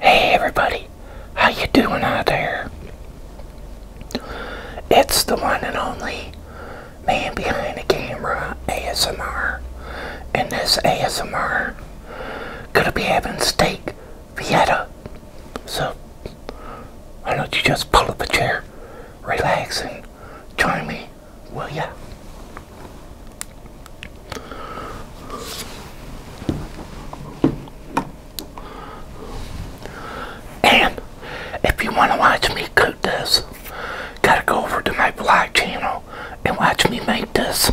Hey everybody, how you doing out there? It's the one and only man behind the camera ASMR. And this ASMR gonna be having steak Vieta. So why don't you just pull up a chair, relax and join me, will ya? And if you want to watch me cook this, gotta go over to my vlog channel and watch me make this.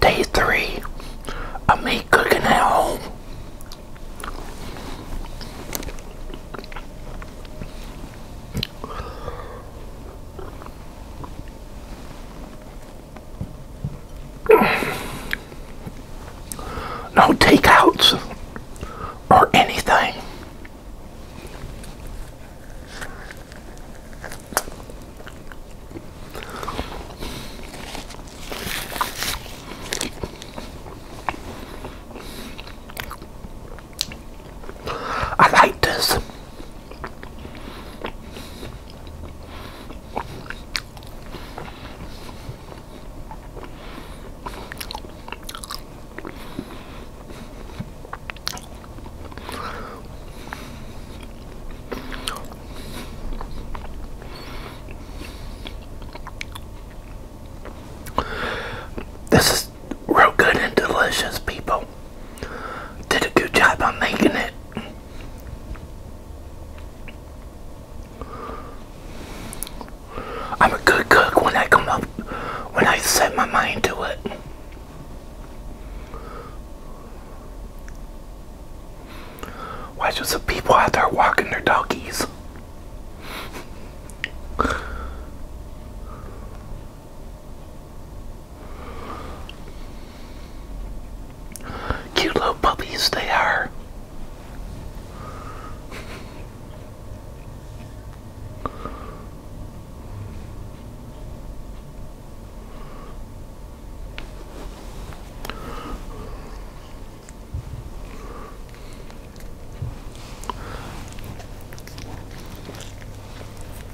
Day three of me cooking at home. No takeouts or anything. I like this. This is real good and delicious, people. Did a good job on making it. I'm a good cook when I come up, when I set my mind to it. Watch there's some people out there walking their doggies. Cute little puppies they are.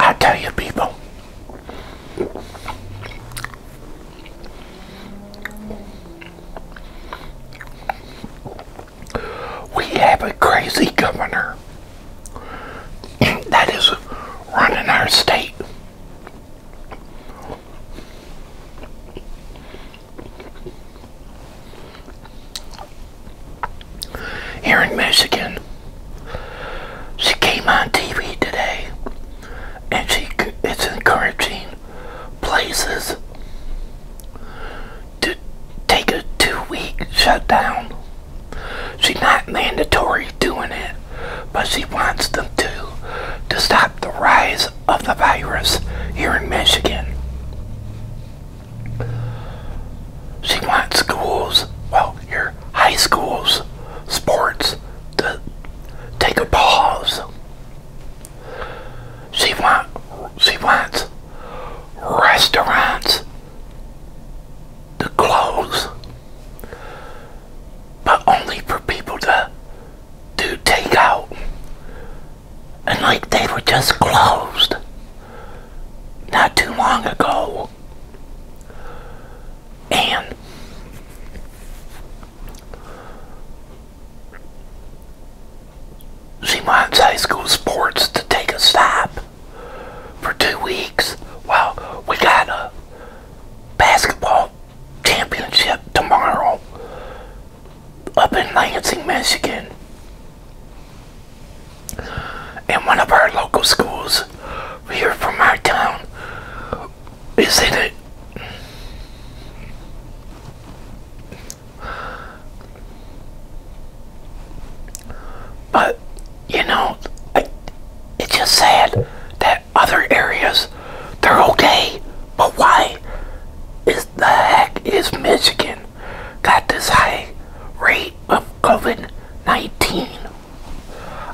I tell you, people, we have a crazy governor that is running our state here in Michigan. She came on TV today and she is encouraging places to take a two-week shutdown. She's not mandatory doing it, but she wants them to to stop the rise of the virus here in Michigan. She wants schools, well, your high schools, sports to take a pause. She want she wants restaurants to close, but only for people to take out and like they were just closed not too long ago. And she wants high school sports to take a stop for two weeks. Well, we got a basketball championship tomorrow up in Lansing, Michigan. And one of our local schools here from our town is in it. But, you know, it's just sad that other areas, they're okay. But why is the heck is Michigan got this high rate of COVID 19?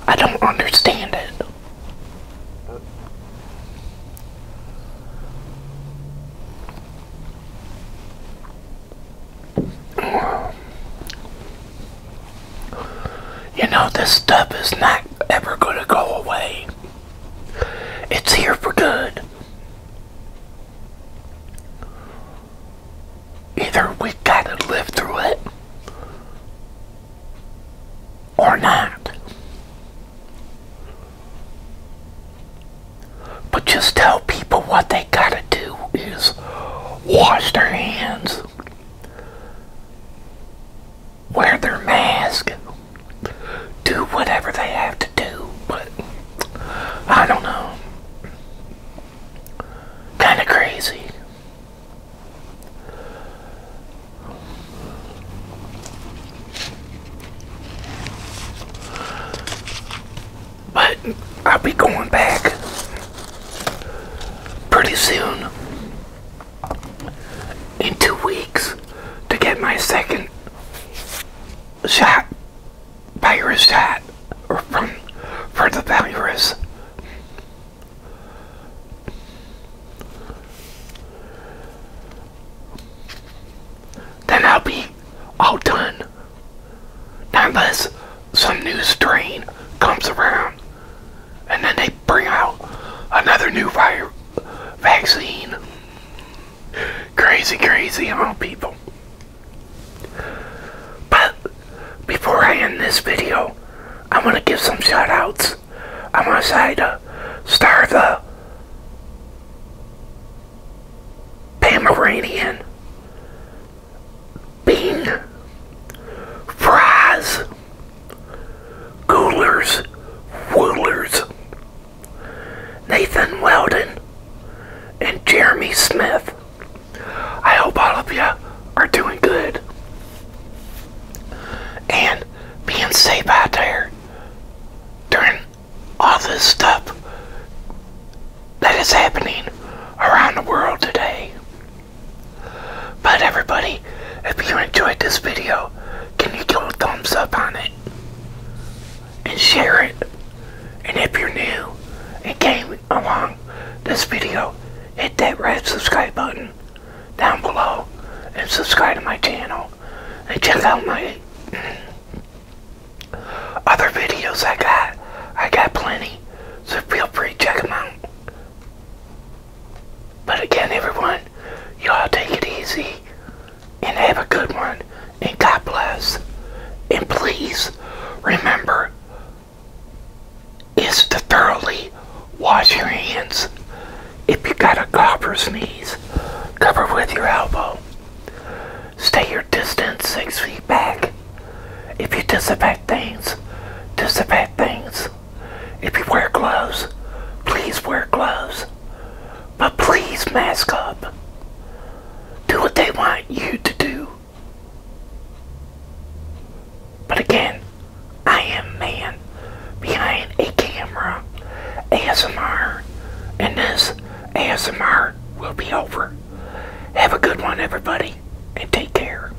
I don't understand it. You know, this stuff is not ever going to go away. It's here for good. Either we gotta live through it or not. But just tell people what they gotta do is wash their hands wear their mask, do whatever they have to do, but I don't know. Kind of crazy. But I'll be going back pretty soon in two weeks to get my second shot, virus shot, or from for the virus. Then I'll be all done. Unless some new strain comes around and then they bring out another new virus vaccine. Crazy, crazy among people. But before I end this video, I want to give some shout outs. I'm going to say to Star the Pomeranian, Bean, Fries, Coolers, Woolers, Nathan Weldon, and Jeremy Smith. I hope all of you are doing good and being safe out there during all this stuff that is happening around the world today. But everybody, if you enjoyed this video, can you give a thumbs up on it? And share it. And if you're new and came along this video, hit that red subscribe button down below and subscribe to my channel. And check out my other videos I got. I got plenty, so feel free to check them out. But again, everyone, y'all take it easy and have a good one. And God bless. And please remember is to thoroughly wash your hands. If you got a cough or sneeze, cover with your elbow. Stay your distance six feet back. If you disinfect things, disinfect things. If you wear gloves, please wear gloves. But please mask up. Do what they want you to do. But again, I am man behind a camera. ASMR. And this ASMR will be over. Have a good one, everybody, and take care.